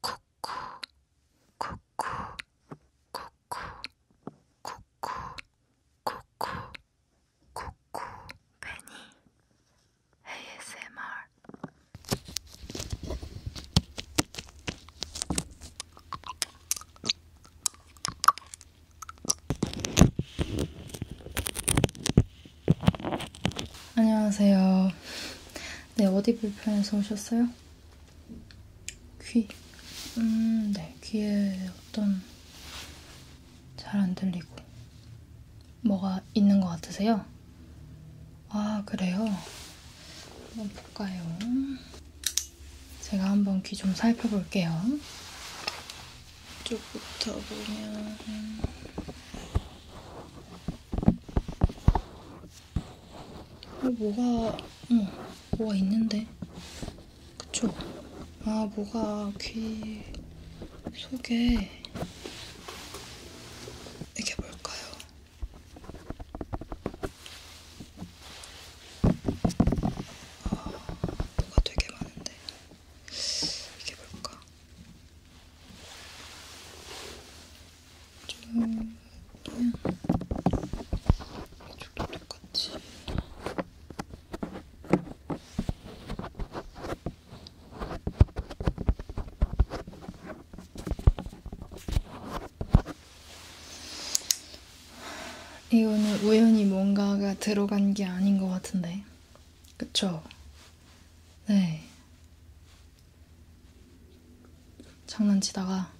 쿠쿠 쿠쿠 쿠쿠 쿠쿠 쿠쿠 쿠쿠 베니 ASMR 안녕하세요. 네, 어디 불편해서 오셨어요? 귀. 음, 네, 귀에 어떤 잘 안 들리고 뭐가 있는 것 같으세요? 아, 그래요? 한번 볼까요? 제가 한번 귀 좀 살펴볼게요. 이쪽부터 보면 아, 뭐가, 응, 뭐가 있는데. 그쵸? 아, 뭐가 귀 속에. 이게 뭘까요? 아, 뭐가 되게 많은데. 이게 뭘까? 좀 그냥 이쪽도 똑같이 이거는 우연히 뭔가가 들어간 게 아닌 것 같은데, 그쵸? 네. 장난치다가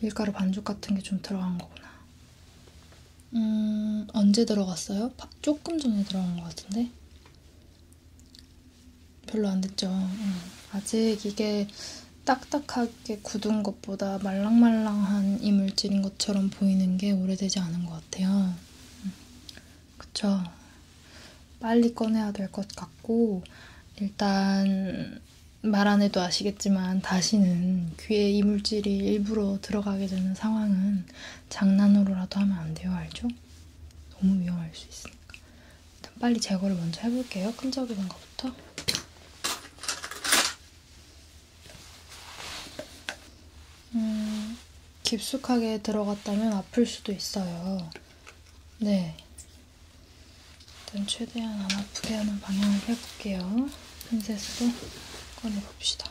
밀가루 반죽 같은 게 좀 들어간 거구나. 음, 언제 들어갔어요? 조금 전에 들어간 것 같은데? 별로 안 됐죠. 음. 아직 이게 딱딱하게 굳은 것보다 말랑말랑한 이물질인 것처럼 보이는 게 오래되지 않은 것 같아요. 음. 그쵸. 빨리 꺼내야 될 것 같고, 일단, 말 안 해도 아시겠지만, 다시는 귀에 이물질이 일부러 들어가게 되는 상황은 장난으로라도 하면 안 돼요. 알죠? 너무 위험할 수 있으니까. 일단 빨리 제거를 먼저 해볼게요. 끈적이는 것부터. 음, 깊숙하게 들어갔다면 아플 수도 있어요. 네. 일단 최대한 안 아프게 하는 방향을 해볼게요. 핀셋으로 꺼내봅시다.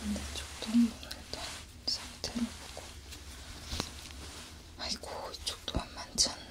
반대쪽도 한번 일단 상태를 보고 아이고 이쪽도 만만치 않네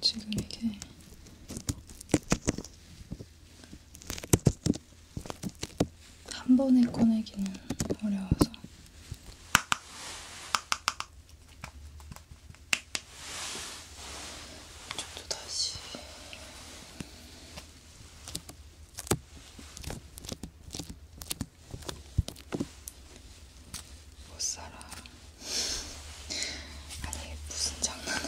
지금 이게 한 번에 꺼내기는 어려워서 저도 다시 못살아. 아니, 무슨 장난을.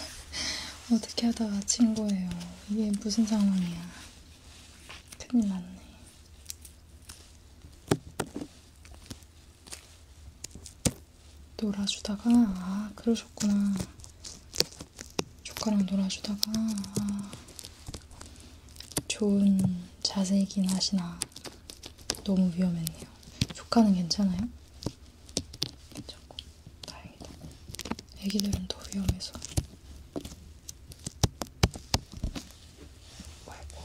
어떻게 하다가 친 거예요. 이게 무슨 상황이야. 큰일 났네. 놀아주다가, 아, 그러셨구나. 조카랑 놀아주다가, 아, 좋은 자세이긴 하시나 너무 위험했네요. 조카는 괜찮아요? 괜찮고 다행이다. 애기들은 더 위험해서. 아이고.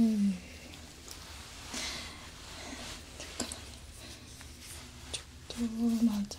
음. 잠깐만. 이쪽도 맞아.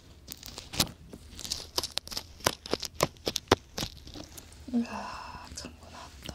으아, 참고 나왔다.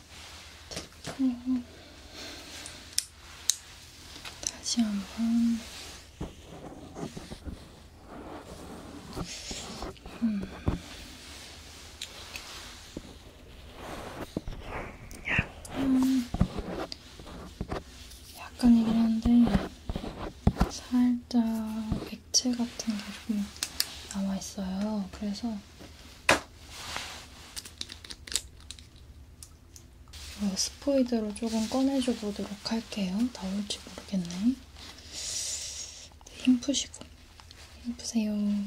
또 다시 한번 음. 음. 약간 약간이긴 한데 살짝 백채 같은 게좀 남아 있어요. 그래서 어, 스포이드로 조금 꺼내줘 보도록 할게요. 나올지 모르겠네. 힘 푸시고. 힘 푸세요. 네.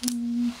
조금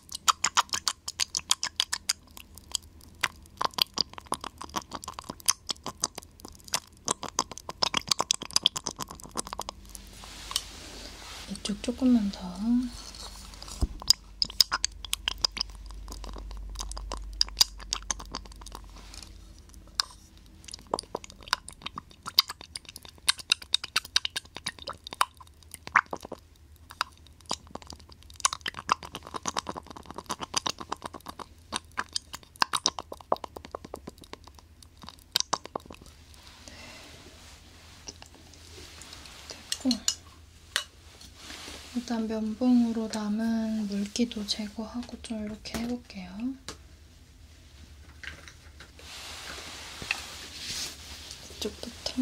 이쪽 조금만 더 됐고 일단 면봉으로 남은 물기도 제거하고 좀 이렇게 해볼게요. 이쪽부터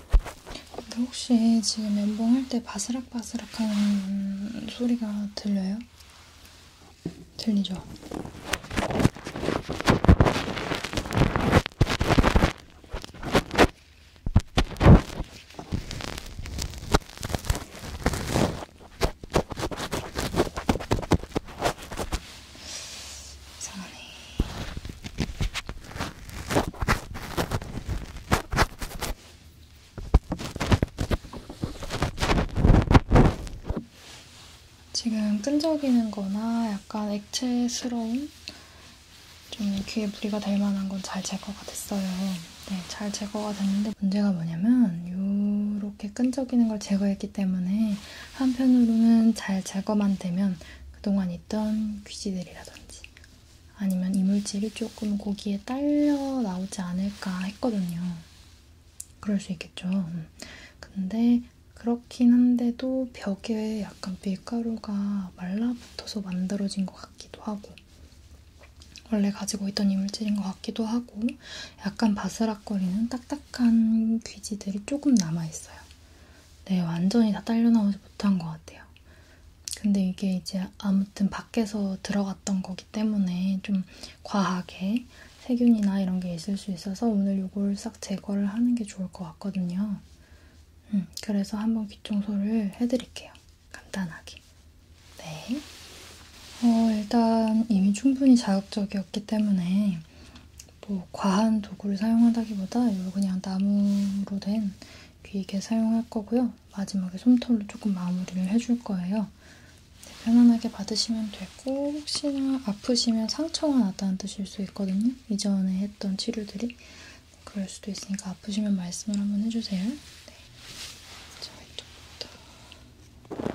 근데 혹시 지금 면봉할 때 바스락바스락하는 소리가 들려요? 들리죠? 이상하네. 지금 끈적이는 거나 약간 액체스러운 좀 귀에 무리가 될 만한 건 잘 제거가 됐어요. 네, 잘 제거가 됐는데 문제가 뭐냐면 이렇게 끈적이는 걸 제거했기 때문에 한편으로는 잘 제거만 되면 그동안 있던 귀지들이라든지 아니면 이물질이 조금 고기에 딸려 나오지 않을까 했거든요. 그럴 수 있겠죠. 음. 근데 그렇긴 한데도 벽에 약간 밀가루가 말라붙어서 만들어진 것 같기도 하고 원래 가지고 있던 이물질인 것 같기도 하고 약간 바스락거리는 딱딱한 귀지들이 조금 남아있어요. 네, 완전히 다 딸려 나오지 못한 것 같아요. 근데 이게 이제 아무튼 밖에서 들어갔던 거기 때문에 좀 과하게 세균이나 이런 게 있을 수 있어서 오늘 요걸 싹 제거를 하는 게 좋을 것 같거든요. 음, 그래서 한번 귀 청소를 해드릴게요. 간단하게. 네. 어, 일단 이미 충분히 자극적이었기 때문에 뭐 과한 도구를 사용하다기보다 요 그냥 나무로 된 귀이개 사용할 거고요. 마지막에 솜털로 조금 마무리를 해줄 거예요. 네, 편안하게 받으시면 되고 혹시나 아프시면 상처가 났다는 뜻일 수 있거든요. 이전에 했던 치료들이 네, 그럴 수도 있으니까 아프시면 말씀을 한번 해주세요. 네. 자, 이쪽부터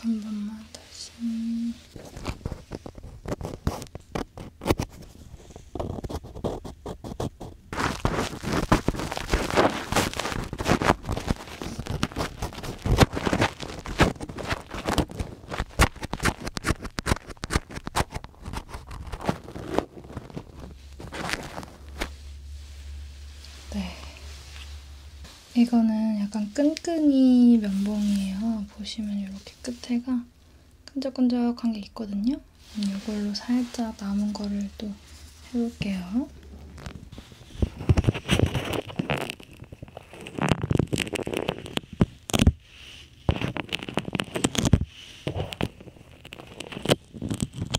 한 번만 다시. 네, 이거는 약간 끈끈이 면봉이에요. 보시면 이렇게 끝에가 끈적끈적한 게 있거든요. 이걸로 살짝 남은 거를 또 해볼게요.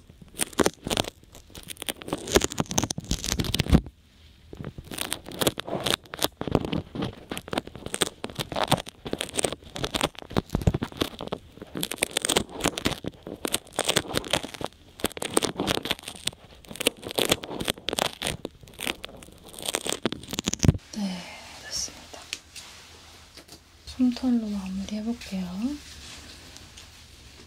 네, 됐습니다. 솜털로 마무리 해볼게요.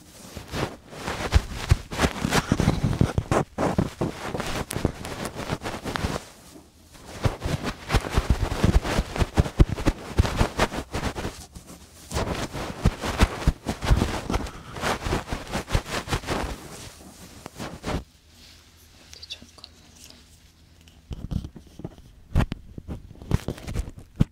잠깐만요.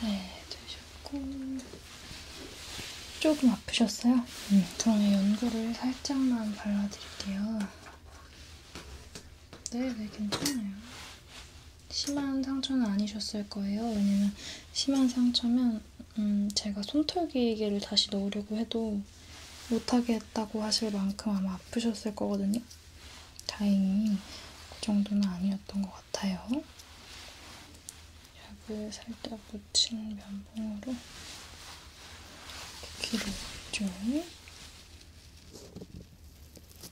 네, 되셨고. 조금 아프셨어요? 음. 저는 연고를 살짝만 발라드릴게요. 네, 네, 괜찮아요. 심한 상처는 아니셨을 거예요. 왜냐면 심한 상처면 음, 제가 손털기계를 다시 넣으려고 해도 못하게 했다고 하실 만큼 아마 아프셨을 거거든요. 다행히 그 정도는 아니었던 것 같아요. 약을 살짝 묻힌 면봉으로 귀를 좀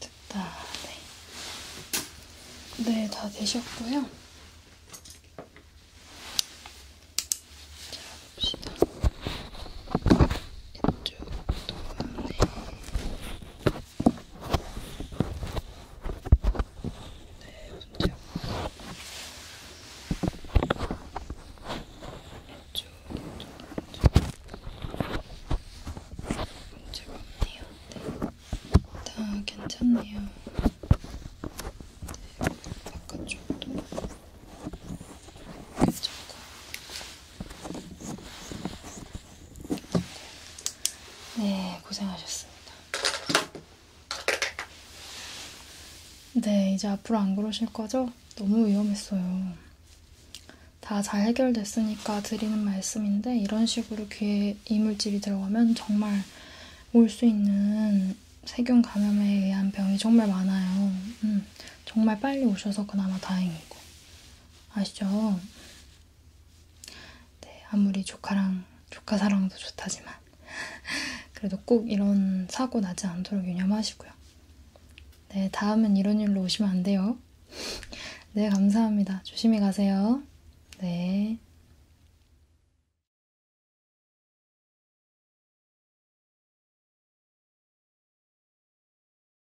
됐다. 네. 네, 다 되셨고요. 자, 봅시다. 이쪽도 가네. 네, 웃음치약. 이쪽, 이쪽, 이쪽. 문제가 없네요. 네. 다 괜찮네요. 네, 바깥쪽도 괜찮고. 네, 고생하셨습니다. 네, 이제 앞으로 안 그러실 거죠? 너무 위험했어요. 다 잘 해결됐으니까 드리는 말씀인데, 이런 식으로 귀에 이물질이 들어가면 정말 올 수 있는 세균 감염에 의한 병이 정말 많아요. 음, 정말 빨리 오셔서 그나마 다행이고. 아시죠? 네, 아무리 조카랑 조카 사랑도 좋다지만 그래도 꼭 이런 사고 나지 않도록 유념하시고요. 네, 다음은 이런 일로 오시면 안 돼요. 네, 감사합니다. 조심히 가세요. 네.